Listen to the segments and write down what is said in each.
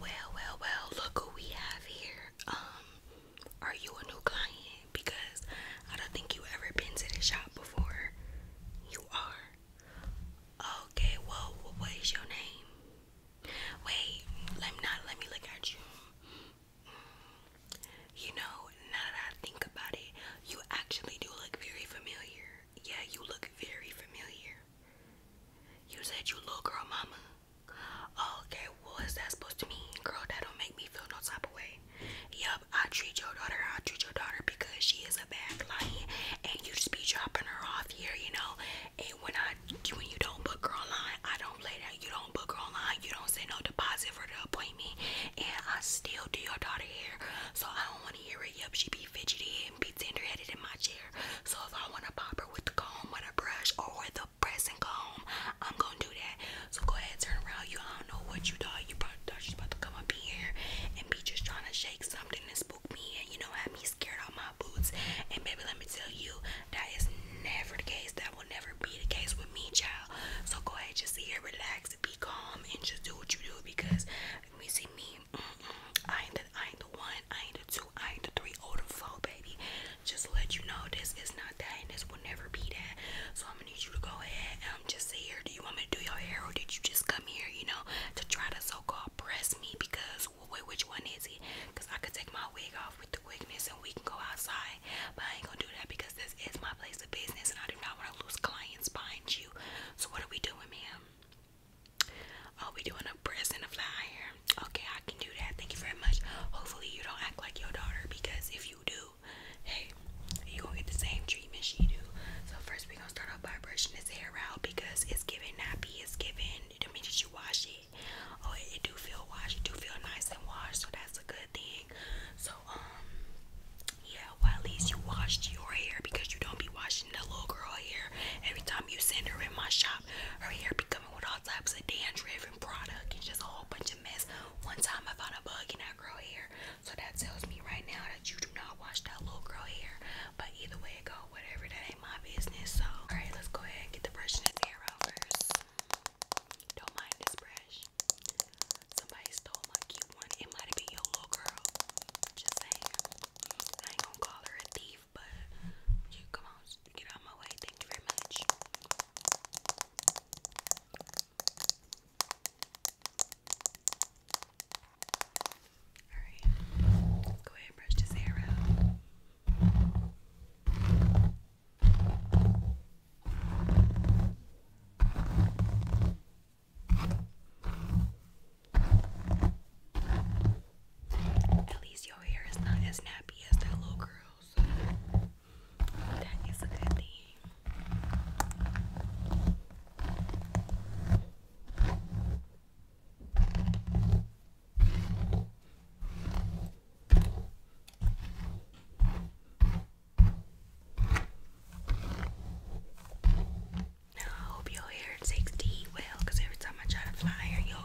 Well, well, well, look who we have here. Um, are you a new client? Because I don't think you have ever been to this shop before. You are. Okay, well, what is your name? Wait, let me not let me look at you. Mm. You know, now that I think about it, you actually do look very familiar. Yeah, you look very familiar. You said you little girl mama. Oh, okay, what is that supposed to mean? Girl, that don't make me feel no type of way. Yup, I treat your daughter, I treat your daughter because she is a bad client and you just be dropping her off here, you know. And when I when you don't book her online, I don't play that. You don't book her online, you don't say no deposit for the appointment, and I still do your daughter here. So I don't want to hear it. Yup, she be fidgety and be tender headed in my chair. So if I want to pop her with the comb, with a brush, or with the pressing comb, I'm gonna do that. So go ahead, turn around. You I don't know what you thought. You probably thought she's about to come up here and be just trying to shake something and spook me and you know have me scared out my boots. And baby, let me tell you, that is never the case. That will never be the case with me, child. So go ahead, just sit here, relax, be calm, and just do what you do because let me see me. I ain't the I ain't the one I ain't a two, I ain't a three, or oh the four, baby. Just let you know this is not that and this will never be that. So I'm gonna need you to go ahead and am um, just say here, do you want me to do your hair or did you just come here, you know, to try to so-called press me because wait, which one is it? Because I could take my wig off with the quickness and we can go outside. But I ain't gonna do that because this is my place of business and I do not want to lose clients behind you. So what are we doing, ma'am? I'll oh, be doing a prison of fire. Okay, I can do that. Thank you very much. Hopefully you don't act like your daughter because if you do, hey, you gonna get the same treatment she do. So first we gonna start off by brushing his hair out because it's giving nappy, it's giving the minute you wash it. Oh, it, it do feel washed, it do feel nice and washed, so that's a good thing. So um yeah, well at least you washed your hair because you don't be washing the little girl hair every time you send her in my shop job. Her hair be coming with all types of dandruff and product and just a whole bunch of mess. One time I found a bug in that girl hair. So that tells me right now that you do not wash that little girl hair. But either way it go, whatever, that ain't my business. So alright, let's go ahead and get the brush and this hair out first. Don't mind this brush. Somebody stole my cute one. It might have been your little girl. Just saying. I ain't gonna call her a thief but you come on, get out my way. Thank you very much. Alright, go ahead and brush this hair out. At least your hair is not as nappy as that little girl's. that is a good thing. I hope your hair it takes heat well because every time I try to fly your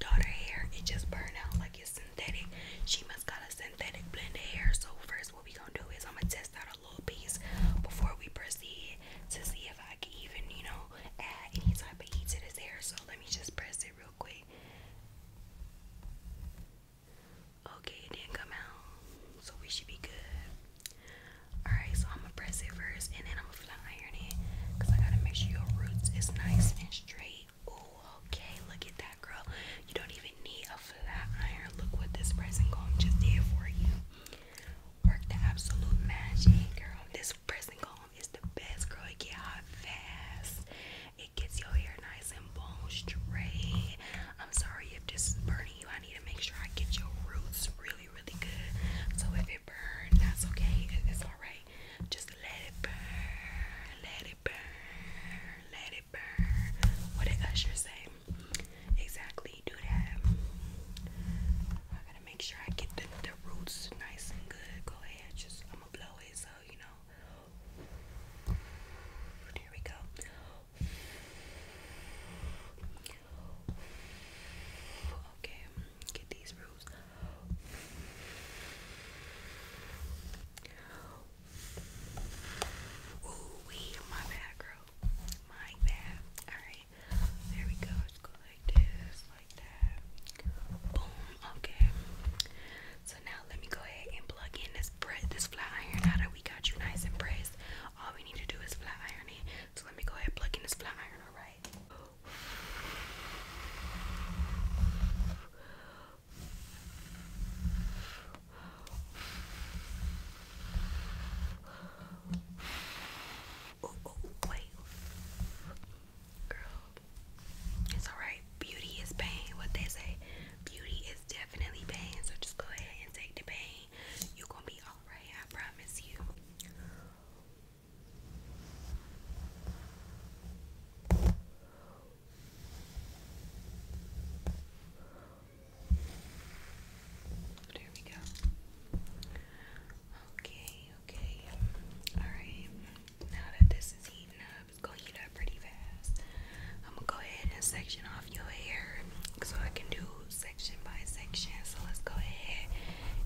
daughter hair, it just burn out like it's synthetic. She must got a synthetic blended hair. So first what we gonna do is I'm gonna test out a little piece before we proceed to see if I can even, you know, add any type of heat to this hair. So let me just press it real quick. Okay, it didn't come out. So we should be good. Alright, so I'm gonna press it first and then I'm mouth I iron it because I gotta make sure your roots is nice and straight. Ooh, okay, look at that girl. You don't even need a flat iron. Look what this pressing comb just did for you. Work the absolute magic, girl. This pressing comb is the best, girl. It get hot fast. It gets your hair nice and bone straight. I'm sorry if this is burning you. I need to make sure I get your roots really, really good. So if it burns, that's okay. It's alright. Just let it burn, let it burn, let it burn. What did Usher say? Exactly, do that. I gotta make sure I get the roots nice and good. Go ahead, just I'm gonna blow it so you know. There we go. Okay, get these roots. Ooh, wee, my bad, girl. My bad. Alright, there we go. Let's go like this, like that. Boom, okay. So now let me go ahead and plug in this flat iron. Now that we got you nice and pressed, all we need to do is flat iron it. So let me go ahead and plug in this flat iron, alright? Oh, it's alright. Beauty is pain. What they say, beauty is definitely pain. So just go ahead and take the pain. you gonna be alright. I promise you. There we go. Okay, okay. Alright. Now that this is heating up, it's gonna heat up pretty fast. I'm gonna go ahead and section off your hair so I can do section by section. So let's go ahead.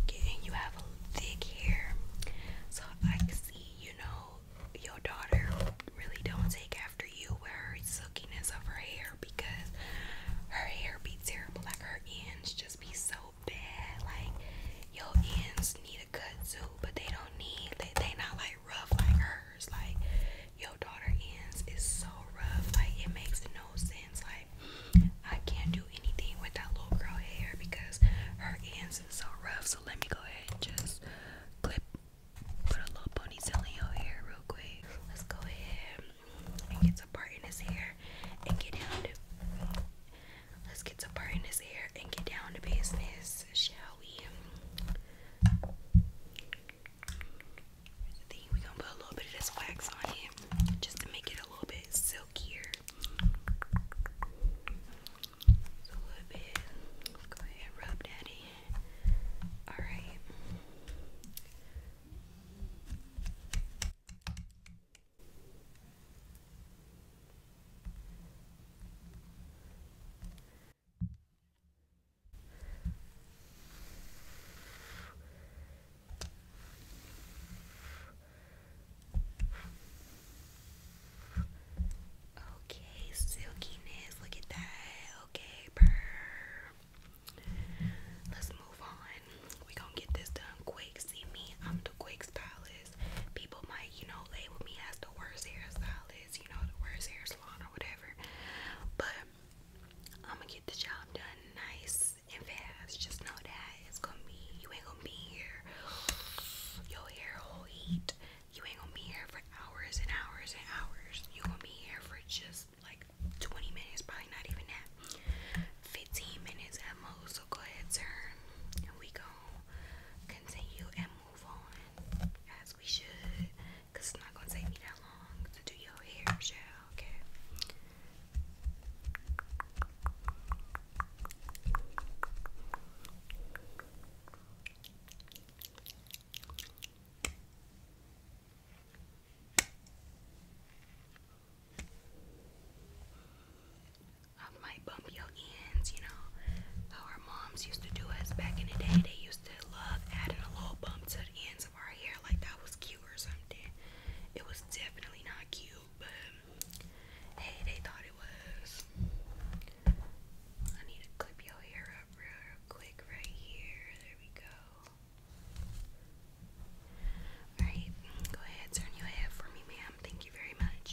Get You have thick hair. So I can see, you know, your daughter really don't take after you with her silkiness of her hair because her hair be terrible. Like her ends just be so bad. Like your ends need a cut too, but they don't need they they not like rough like hers. Like your daughter ends is so rough. Like it makes no no sense. Like, I can't do anything with that little girl hair because her ends is so rough. So let me go ahead and just clip, put a little ponytail here real quick. Let's go ahead and get to parting his hair and get down to. Let's get to parting his hair and get down to business, shall we? I think we're gonna put a little bit of this wax on it just to make it a little bit silkier. So a little bit. Go ahead, rub daddy. Alright. Okay, silkiness. Look at that. Okay, burr. Let's move on. We gonna get this done quick. See me? I'm the quick stylist. People might, you know, label me as the worst hairstylist. You know, the worst hair salon or whatever. But I'm gonna get the job done nice and fast. Just know that it's gonna be you ain't gonna be here. Your hair will heat. You ain't gonna be here for hours and hours and hours. You gonna be here for just like 20 minutes, probably not even that. 15 minutes at most. So go ahead, turn, and we going continue and move on as we should. Cause it's not gonna take me that long to do your hair, shall okay? I might bump your ends, you know, how our moms used to do us back in the day. They used to love adding a little bump to the ends of our hair, like that was cute or something. It was definitely not cute, but hey, they thought it was. I need to clip your hair up real quick right here. There we go. Alright, go ahead, turn your head for me, ma'am. Thank you very much.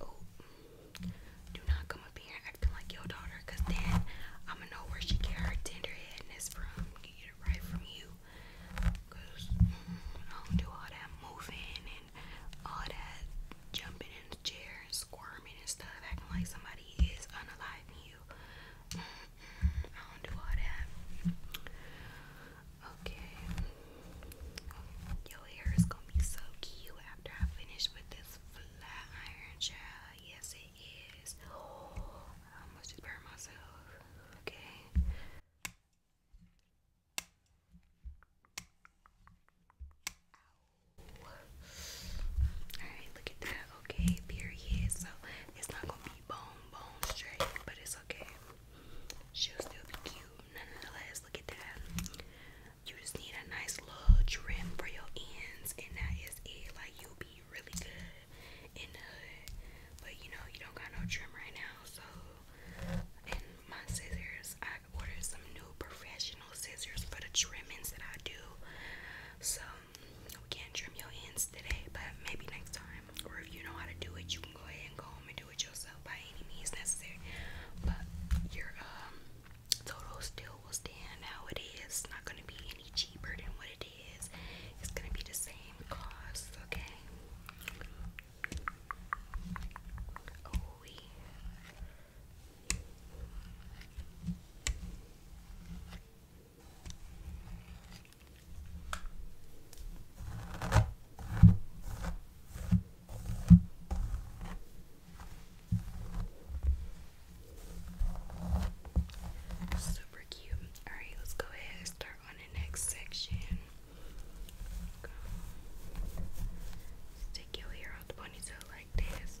Oh, do not come up here acting like your daughter, then I'ma know where she get her tender from. Get it right from you. Cause I don't do all that moving and all that jumping in the chair and squirming and stuff, acting like somebody is unaliving you. Mm, mm, I don't do all that. Okay. Your hair is gonna be so cute after I finish with this flat iron gel. Yes, it is. I almost just burned myself. Okay. Alright, look at that. Okay, period. So it's not gonna be bone, bone straight, but it's okay. She'll still be cute. Nonetheless, look at that. You just need a nice little trim for your ends, and that is it. Like you'll be really good. But you know, you don't got no trim right now, so and my scissors, I ordered some new professional scissors for the trimmings that I do. So we can't trim your ends today, but maybe next time. Or if you know how to do it, you can go ahead and go home and do it yourself by any means necessary. But your um total still will stand how it is. It's not gonna be any cheaper than what it it's gonna be the same cost, okay? Oh, Super cute. Alright, let's go ahead and start on next section. Stick your hair out the ponytail like this.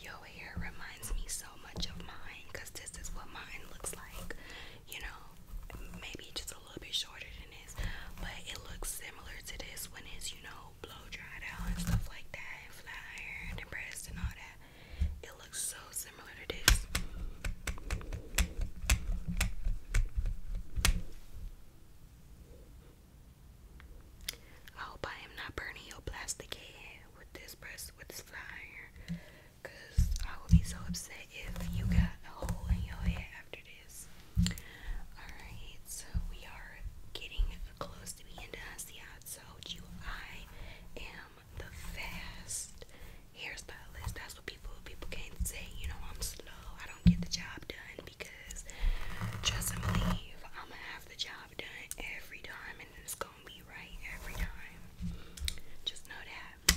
Your hair reminds me so much of mine because this is what mine looks like. You know, maybe just a little bit shorter than this, but it looks similar to this when it's, you know, blow dried out and stuff like that, flat iron and breast and all that. It looks so similar to this. I hope I am not burning your plastic head with this press with this fire, Cause I will be so upset if you got a hole in your head after this. Alright, so we are getting close to being done. See I told you I am the fast hairstylist. That's what people people can't say, you know, I'm slow. I don't get the job done. Just believe, I'm gonna have the job done every time and it's gonna be right every time. Just know that.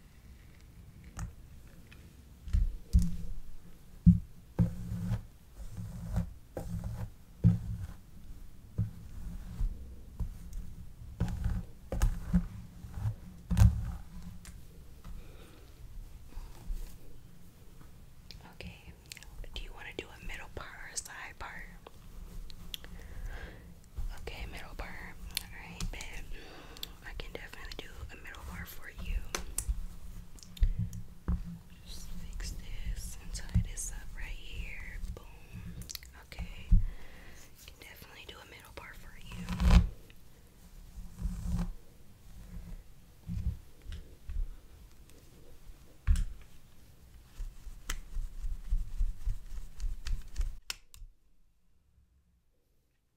Okay, do you want to do a middle part or a side part? Okay, middle part. Alright, babe. I can definitely do a middle bar for you. Just fix this and tie this up right here. Boom. Okay. Can definitely do a middle bar for you.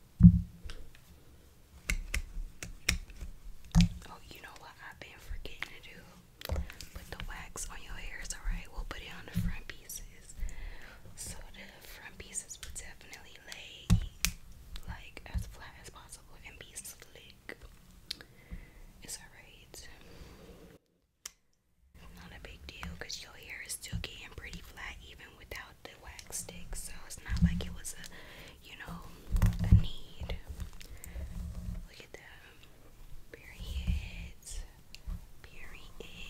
Oh, you know what I've been forgetting to do? Put the wax on your hairs, alright? We'll put it on the front pieces. So the front pieces would definitely lay like as flat as possible and be slick. It's alright. Not a big deal because your hair is still getting pretty flat even without the wax stick, so it's not like it was a, you know, a need. Look at that. Period. Period.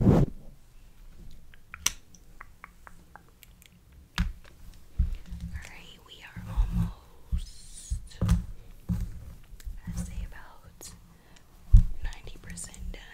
Alright, we are almost. I about ninety percent done.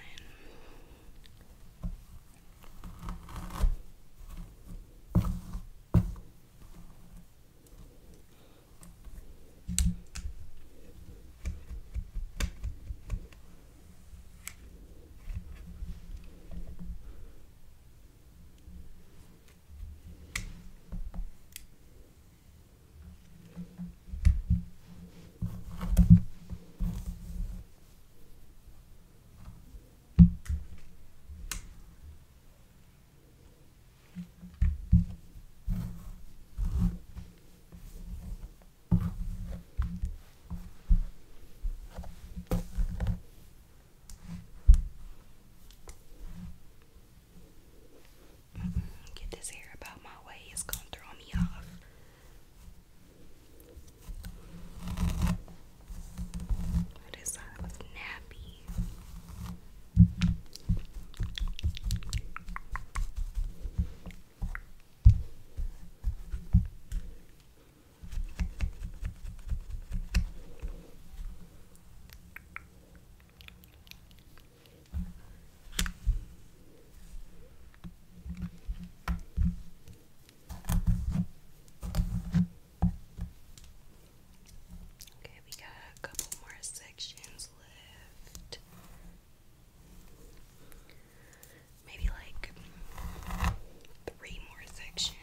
Get this hair about my way, it's gonna throw me off. What is that? nappy. Okay, we got a couple more sections left. Maybe like three more sections.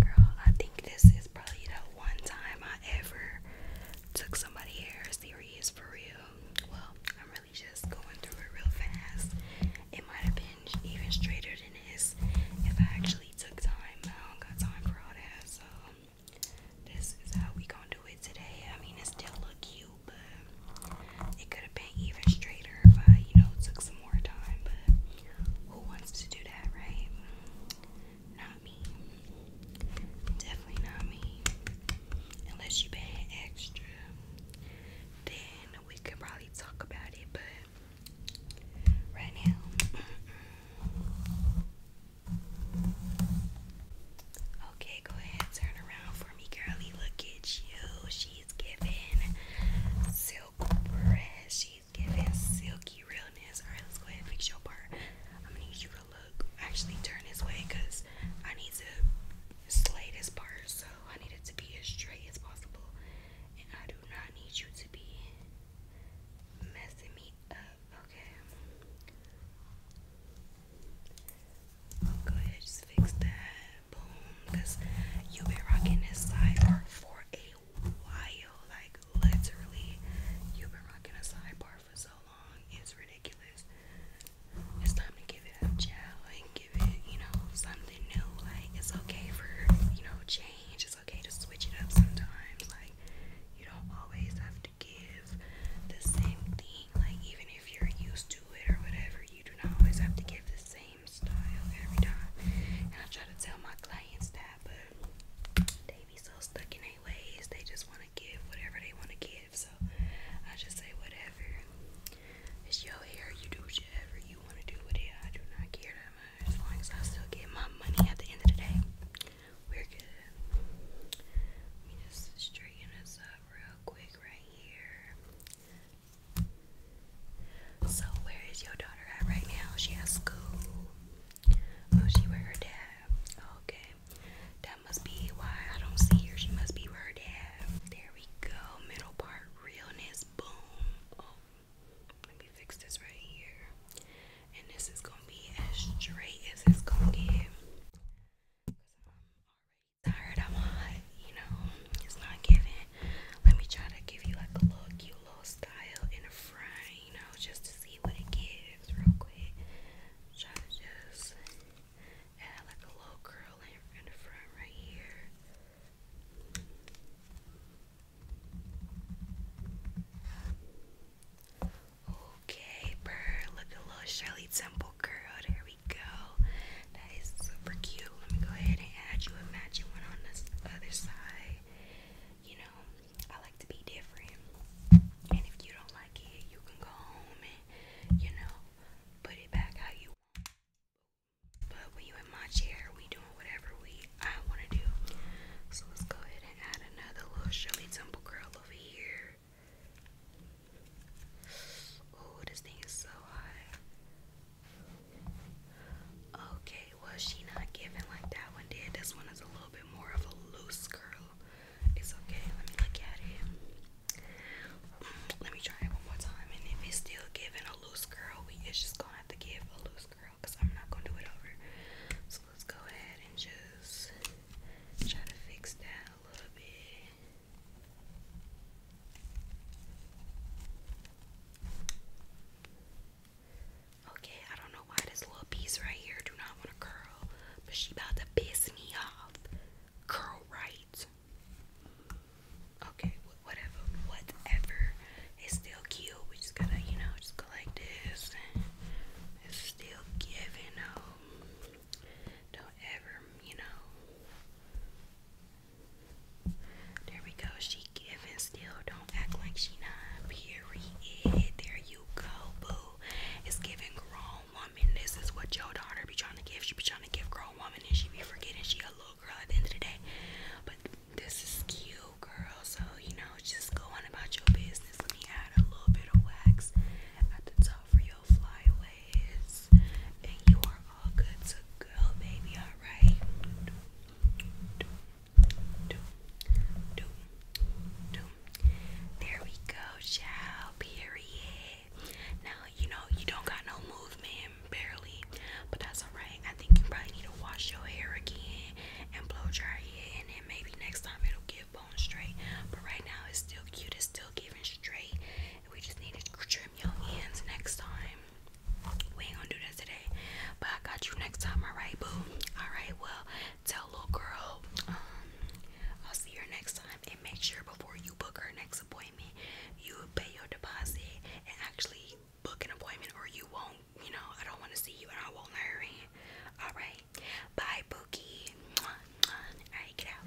Girl, I think this is probably the one time I ever took somebody hair serious for real. Well, I'm really just going through it real fast. It might have been even straighter than this if I actually took time. I got time for all that, so this is how we gonna do it today. I mean, it still look cute, but it could have been even straighter if I, you know, took some more time, but who wants to do that, right? Not me. Definitely not me. Unless you've extra, then we could probably talk about it, but right now. Okay, go ahead, turn around for me, girlie. Look at you. She's giving silk press. She's giving silky realness. Alright, let's go ahead and fix your part. I'm gonna need you to look. Actually, turn this way I need to slay this part. So I need it to be as straight as possible. And I do not need you to be messing me up. Okay. Go ahead, just fix that. Boom. you been rocking this side for a while. Like literally, you've been rocking a sidebar for so long. It's ridiculous. It's time to give it a child, and give it, you know, something new. Like it's okay for, you know, change. It's okay to switch it up sometimes. Like you don't always have to give the same thing. Like even if you're used to it or whatever, you do not always have to give the same same style every time. And I try to tell my clients that, but they be so stuck in their ways. They just want to give whatever they want to give. So I just say whatever. It's your hair. You do whatever you want to do with it. I do not care that much. As long as I still get my money at the end of the day, we're good. Let me just straighten this up real quick right here. So where is your daughter at right now? She has school. Oh, she with her dad. Okay. That must be why I don't see her. She must be with her dad. There we go. Middle part realness. Boom. Oh, let me fix this right here. And this is gonna be as straight as it's gonna get. Cause I'm You know, it's not giving. Let me try to give you like a little cute little style in a fry, you know, just to see what it gives real quick. Try to just add like a little curl in, the front right here. Okay, burr, look a little Shirley Temple curl. There we go. That is super cute. Let me go ahead and add you a matching one on this other side you know, I like to be different. And if you don't like it, you can go home and, you know, put it back how you want. But when you in my chair, we doing whatever we I want to do. So let's go ahead and add another little Shirley Temple curl over here. Oh, this thing is so hot. Okay, well she not giving like that one did. This one is a little bit more of a loose curl. It's okay. Let me look at it. Mm, let me try it one more time. And if it's still giving a loose curl, we it's just gonna have to give a loose curl because I'm not gonna do it over. So let's go ahead and just try to fix that a little bit. Okay, I don't know why this little piece right here do not want to curl, but she about to piss me off. Curl right. Okay, whatever, whatever. It's still cute. We just gotta, you know, just go like this. It's still giving. don't ever, you know, there we go. She giving still. Don't act like she not. Period. There you go, boo. It's giving grown woman. This is what your daughter be trying to give. She be trying to give grown woman and she be forgetting she a little girl at the end of the day. But this is cute, girl. So, you know, just go on about your business. Let me add a little bit of wax at the top for your flyaways. And you are all good to go, baby. Alright. There we go, child. Period. Now you know you don't got no movement, barely, but that's alright. I think you probably need to wash your hair again and blow dry it, and maybe next time it'll get bone straight. But right now it's still cute. It's still giving straight. We just need to trim your ends next time. We ain't gonna do that today, but I got you next time, alright, boo? Alright, well, tell little girl, um, I'll see you next time, and make sure before you book her next appointment, you pay your deposit and actually book an appointment, or you won't, you know, I don't want to see you and I won't let Alright, bye, Bookie. Alright, get out.